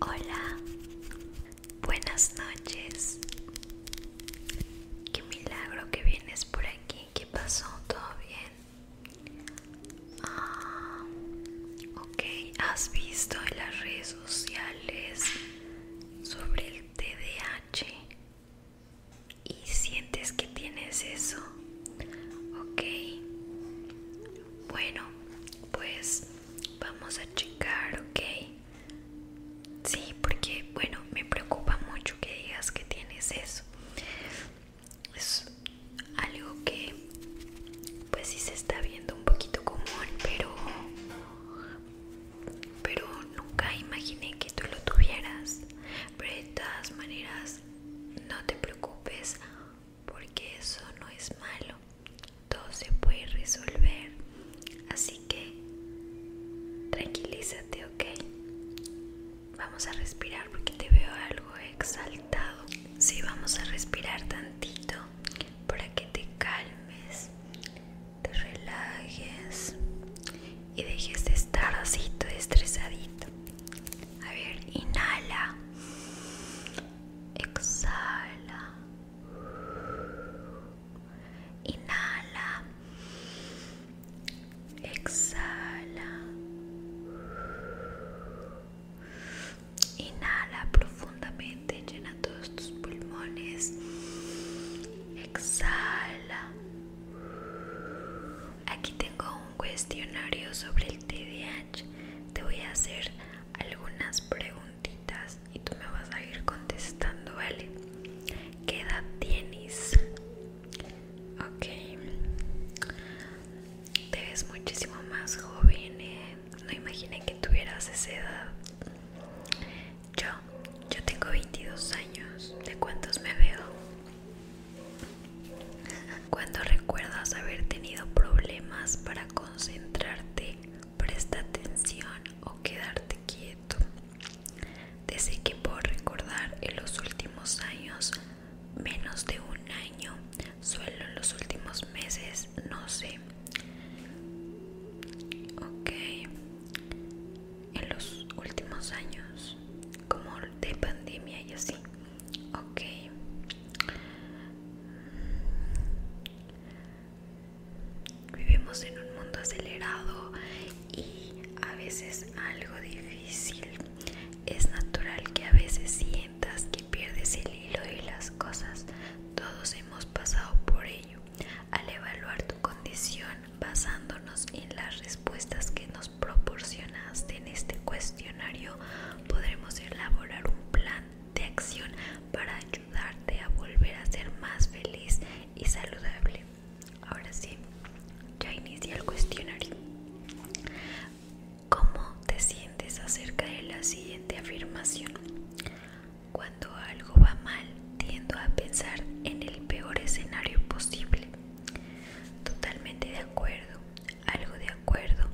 Hola, buenas noches. Qué milagro que vienes por aquí. ¿Qué pasó? ¿Todo bien? Ah, ok, ¿has visto en las redes sociales sobre el TDAH? ¿Y sientes que tienes eso? Ok. Bueno, pues vamos a checar, ¿ok? Sí, porque, bueno, me preocupa mucho que digas que tienes eso. Es algo que, pues sí se está viendo un poquito común, pero... Pero nunca imaginé que tú lo tuvieras. Pero de todas maneras, no te preocupes porque eso no es malo, todo se puede resolver, así que tranquilízate, ok. Vamos a respirar porque te veo algo exaltado. Sí, vamos a respirar tantito para que te calmes, te relajes y dejes de estar así todo estresadito. A ver, inhala. Exhala. Inhala. Exhala. Inhala profundamente, llena todos tus pulmones. Exhala aquí tengo un cuestionario sobre el TDAH. Te voy a hacer algunas preguntitas y tú me vas a ir contestando, ¿vale? ¿Qué edad tienes? Ok. Te ves muchísimo más joven. ¿eh? No imaginé que tuvieras esa edad. Yo, yo tengo 22 años. ¿De cuántos me veo? Cuando recuerdas haber tenido problemas para concentrarte, presta atención o quedarte quieto. Desde que puedo recordar en los últimos años, menos de un año, solo en los últimos meses, no sé. Ok, en los últimos años, como de pandemia y así ok vivimos en un mundo acelerado y a veces algo difícil es natural que a veces sientas que pierdes el hilo de las cosas todos hemos pasado por ello al evaluar tu condición basándonos en las respuestas que nos proporcionaste en este cuestionario, podremos elaborar un plan de acción para ayudarte a volver a ser más feliz y saludable. Ahora sí, ya inicié el cuestionario. ¿Cómo te sientes acerca de la siguiente afirmación? Cuando algo va mal, tiendo a pensar en el peor escenario posible. Totalmente de acuerdo, algo de acuerdo,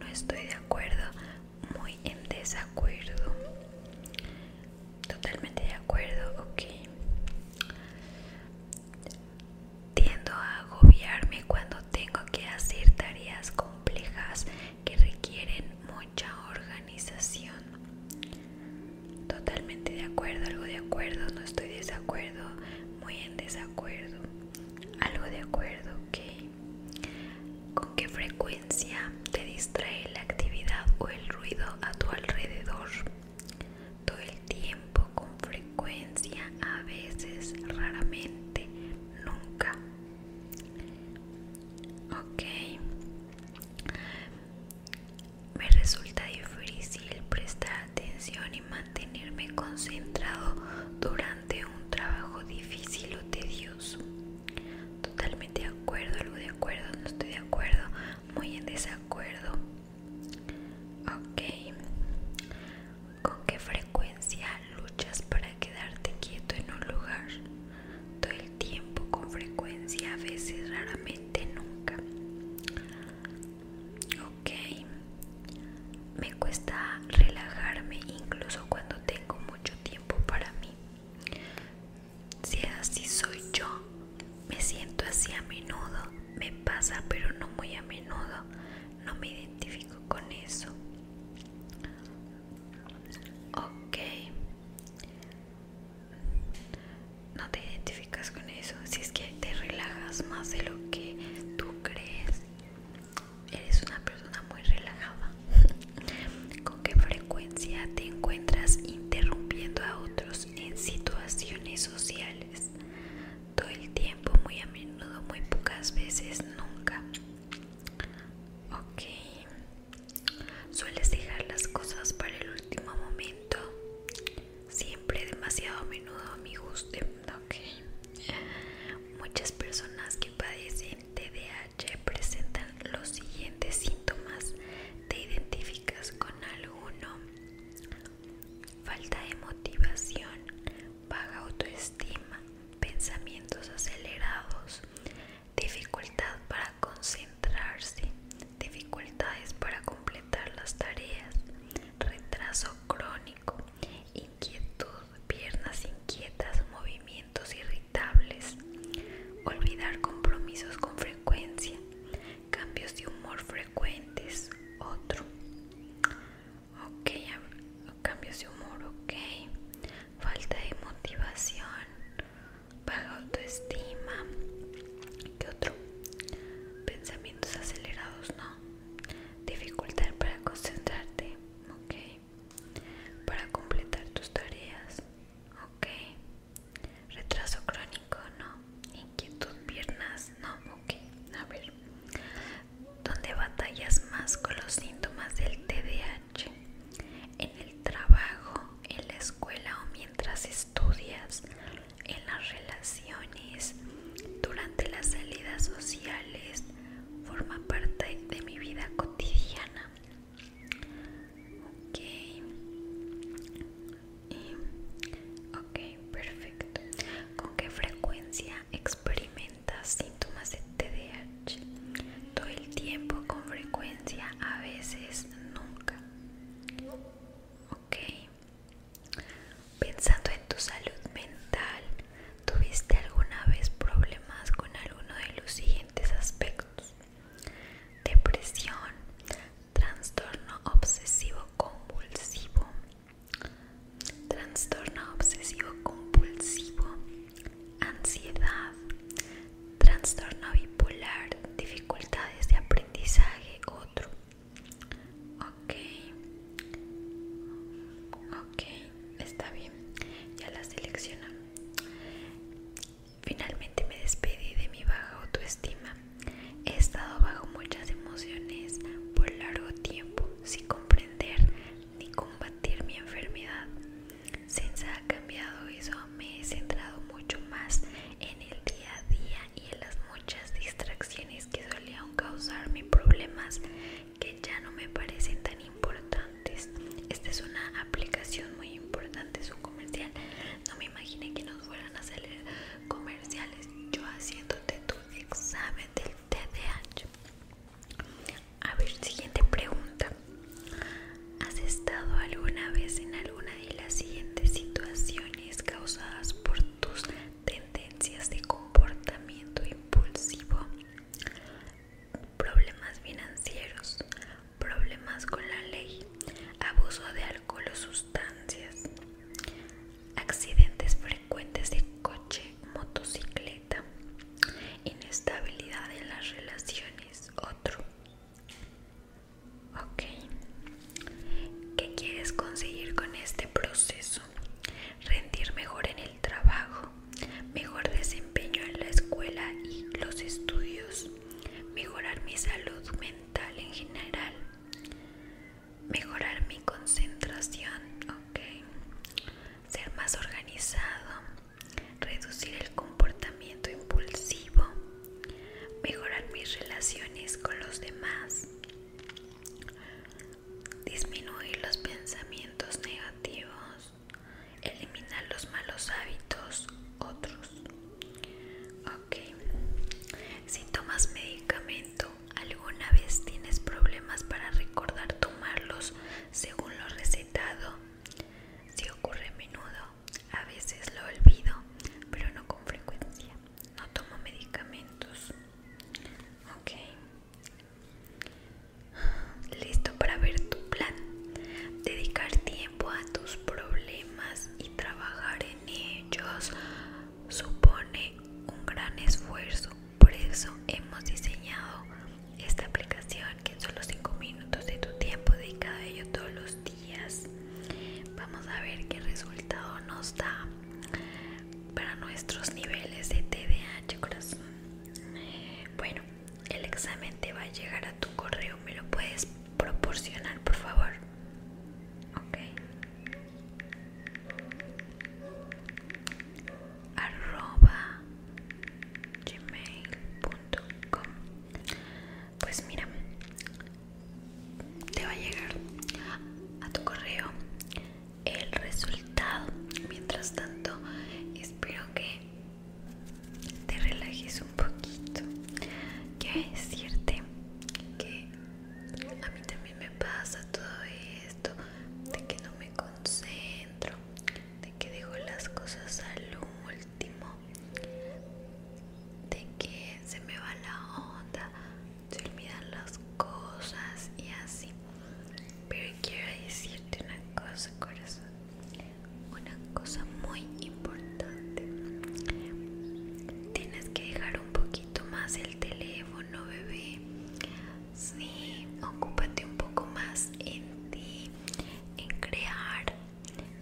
no estoy de acuerdo, muy en desacuerdo. Totalmente de acuerdo, ok. Tiendo a agobiarme cuando tengo que hacer tareas complejas que requieren mucha organización totalmente de acuerdo, algo de acuerdo, no estoy de desacuerdo, muy en desacuerdo, algo de acuerdo, ok. ¿Con qué frecuencia te distrae la actividad o el ruido a tu alrededor? Todo el tiempo, con frecuencia, a veces, raramente, nunca. Ok. Me resulta difícil prestar atención y mantenerme concentrado durante un trabajo difícil o tedioso. Totalmente de acuerdo, algo de acuerdo, no estoy de acuerdo, muy en desacuerdo. Ok. ¿Con qué frecuencia luchas para quedarte quieto en un lugar? Todo el tiempo, con frecuencia, a veces, raramente, nunca. Ok, me cuesta relajarme incluso cuando tengo mucho tiempo para mí. Si así soy yo, me siento así a menudo, me pasa pero no muy a menudo, no me identifico con eso. Ok, no te identificas con eso, si es que te relajas más de lo que tú crees, eres una persona muy relajada. ¿Con qué frecuencia te encuentras interrumpiendo a otros en situaciones sociales? Todo el tiempo, muy a menudo, muy pocas veces, nunca. Ok. ¿Sueles dejar las cosas para el último momento? siempre demasiado a menudo a mi gusto. ¿ok? Muchas personas que padecen TDAH presentan los siguientes síntomas. ¿Te identificas con alguno? Falta de motivación, baja autoestima, pensamientos acelerados, dificultad para concentrarse, dificultades para completar las tareas, retraso crónico, inquietud, piernas inquietas, movimientos irritables, olvidar compromisos con frecuencia, cambios de humor frecuentes, otro. Ok, cambios de humor, ok. Falta de motivación, baja autoestima. ¿Qué otro? Pensamientos acelerados, ¿no? Dificultad para concentrarte, ¿ok? Para completar tus tareas, ¿ok? Retraso crónico, ¿no? Inquietud, piernas, ¿no? Ok, a ver. ¿Dónde batallas más con los síntomas del TDAH? En el trabajo, en la escuela o mientras estudias, en las relaciones, durante las salidas sociales, forma parte de mi vida cotidiana. Ok, perfecto. ¿Con qué frecuencia experimentas síntomas de TDAH? Todo el tiempo, con frecuencia, a veces, nunca. Ok. Pensando en tu salud mental, ¿tuviste alguna vez problemas con alguno de los siguientes aspectos? Depresión, trastorno obsesivo compulsivo, trastorno obsesivo compulsivo, ansiedad, trastorno bipolar, dificultades de aprendizaje, otro. Ok, ok, está bien, ya la selecciono. Finalmente me despedí de mi baja autoestima. He estado bajo muchas emociones por largo tiempo sin comprender ni combatir mi enfermedad. Sinza ha cambiado eso, me he centrado mucho más en el día a día y en las muchas distracciones que solían causarme problemas que ya no me parecen tan importantes. Esta es una aplicación muy importante, es un comercial. No me imaginé que nos fueran a salir comerciales. Yo haciéndote tu examen del TDAH. A ver, siguiente pregunta. ¿Has estado alguna vez en alguna de las siguientes situaciones causadas por tus tendencias de comportamiento impulsivo? Problemas financieros, problemas con la ley, abuso de alcohol o sustancias, accidentes frecuentes de coche, motocicleta, inestabilidad en las relaciones, otro. ¿qué quieres conseguir con este proceso? Rendir mejor en el trabajo, mejor desempeño en la escuela y los estudios, mejorar mi salud mental en general, mejorar mi concentración, ser más organizado, reducir el comportamiento impulsivo, mejorar mis relaciones con los demás, disminuir los pensamientos negativos, eliminar los malos hábitos, otros. Ok, si tomas medicamento, ¿alguna vez tienes problemas para recordar tomarlos según lo recetado? Si ocurre a menudo, a veces lo olvido, pero no con frecuencia. No tomo medicamentos. Ok. Listo para ver tu plan. Dedicar tiempo a tus problemas y trabajar en ellos supone un gran esfuerzo. Por eso hemos diseñado esta aplicación que son los 5 minutos de tu tiempo dedicado a ello todos los días vamos a ver qué resultado nos da para nuestros niveles de TDAH corazón bueno el examen te va a llegar a tu correo me lo puedes proporcionar por favor ok arroba gmail.com pues mira, te va a llegar a tu correo el resultado. Mientras tanto, espero que te relajes un poquito. es cierto que a mí también me pasa todo esto de que no me concentro, que dejo las cosas al último, de que se me va la onda, se olvidan las cosas y así. Pero quiero decirte una cosa, corazón, una cosa muy importante. Tienes que dejar un poquito más el teléfono, bebé. Sí, ocúpate un poco más en ti, en crear,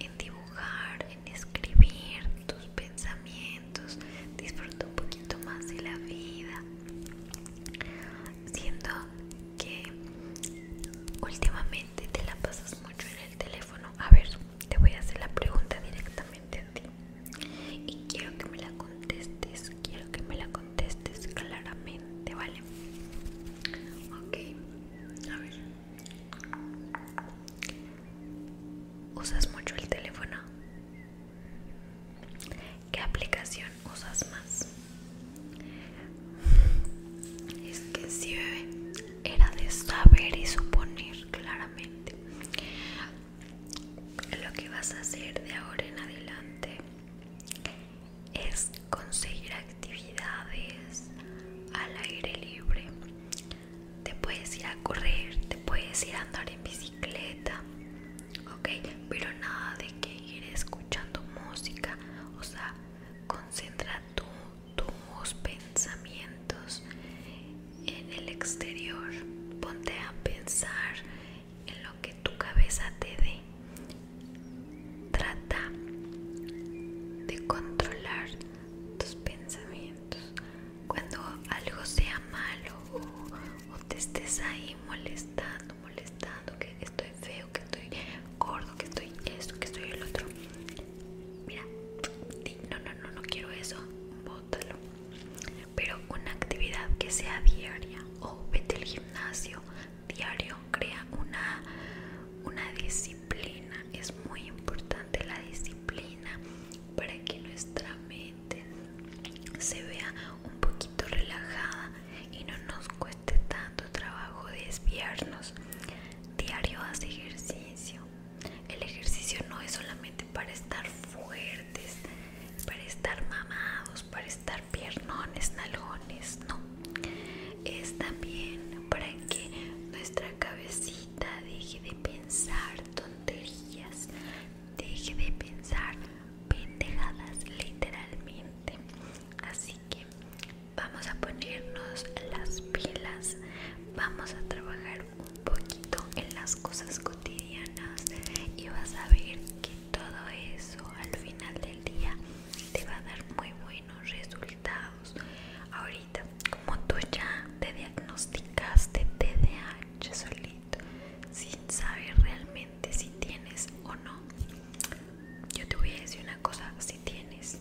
en dibujar, en escribir tus pensamientos. Disfruta un poquito más de la vida. Siento que últimamente te la pasas mucho en el teléfono. A ver, te voy a hacer la pregunta directamente a ti. Y quiero que me la contestes. Quiero que me la contestes contestes claramente, ¿vale? Ok, a ver. ¿Usas mucho el teléfono? ¿Qué aplicación usas más? Es que si bebé. Era de saber y suponer claramente lo que vas a hacer de ahora en adelante es conseguir actividades al aire libre. Te puedes ir a correr, te puedes ir a andar en bicicleta, ok, pero nada de que ir escuchando música, o sea, concentra tus pensamientos en el exterior, ponte a pensar en lo que tu cabeza te dé. Trata de controlar tus pensamientos. Cuando algo sea malo o, te estés ahí molestando, molestando, que estoy feo, que estoy gordo, que estoy esto, que estoy el otro. Mira, no, no, no, no quiero eso, bótalo. Pero una actividad que sea diaria o vete al gimnasio, diario crea una, disciplina es muy importante la disciplina para que nuestra mente se vea un poquito relajada y no nos cueste tanto trabajo desviarnos diario hace ejercicio el ejercicio no es solamente para estar fuertes para estar mamados, para estar piernones, nalones, no. Es también para que nuestra cabecita deje de pensar tonterías, deje de pensar pendejadas literalmente. Así que vamos a ponernos las pilas, vamos a trabajar un poquito en las cosas cotidianas y vas a ver que todo eso al final del día te va a dar muy buenos resultados ahorita como tú ya te diagnosticaste TDAH solito sin saber realmente si tienes o no yo te voy a decir una cosa si tienes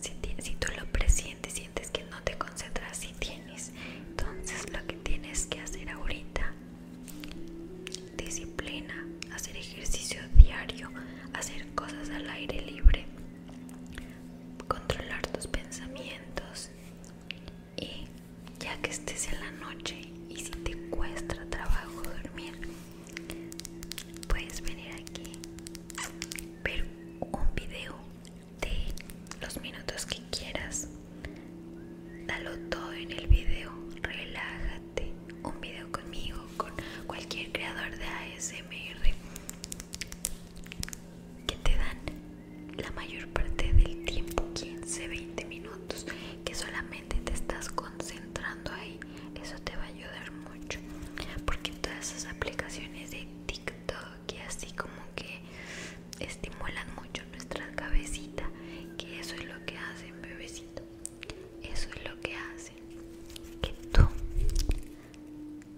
si, si tú lo presientes sientes que no te concentras si tienes entonces lo que tienes que hacer ahorita Disciplina, hacer ejercicio diario, hacer cosas al aire libre, controlar tus pensamientos y ya que estés en la noche y si te cuesta trabajo dormir, puedes venir aquí, ver un video de los minutos que quieras Dalo todo en el video, relájate. Un video conmigo, con cualquier creador de ASMR. Que te dan la mayor parte del tiempo, 15, 20 minutos, que solamente te estás concentrando ahí. Eso te va a ayudar mucho. Porque todas esas aplicaciones de TikTok y así como que estimulan mucho nuestra cabecita, que eso es lo que hacen, bebecito. Eso es lo que hacen. Que tú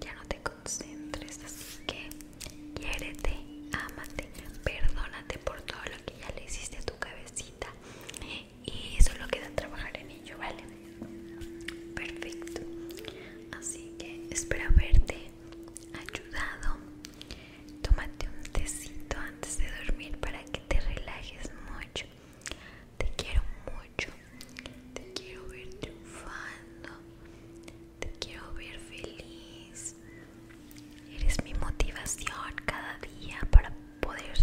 ya no te concentres, así que quiérete, ámate, perdónate por todo lo que ya le hiciste a tu cabecita. Y eso es lo que trabajar en ello, ¿vale? Perfecto. Así que espero haberte ayudado Tómate un tecito antes de dormir para que te relajes mucho. Te quiero mucho. Te quiero ver triunfando. Te quiero ver feliz. Eres mi motivación cada día para poder,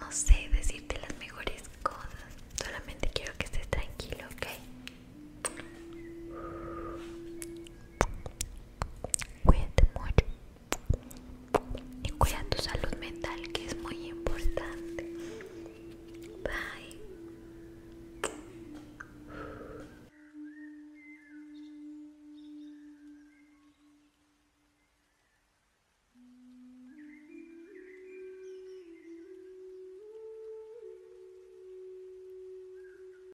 no sé, decirte las mejores cosas. Solamente quiero que estés tranquilo, ¿ok? Cuídate mucho y cuida tu salud mental que es muy importante. Bye.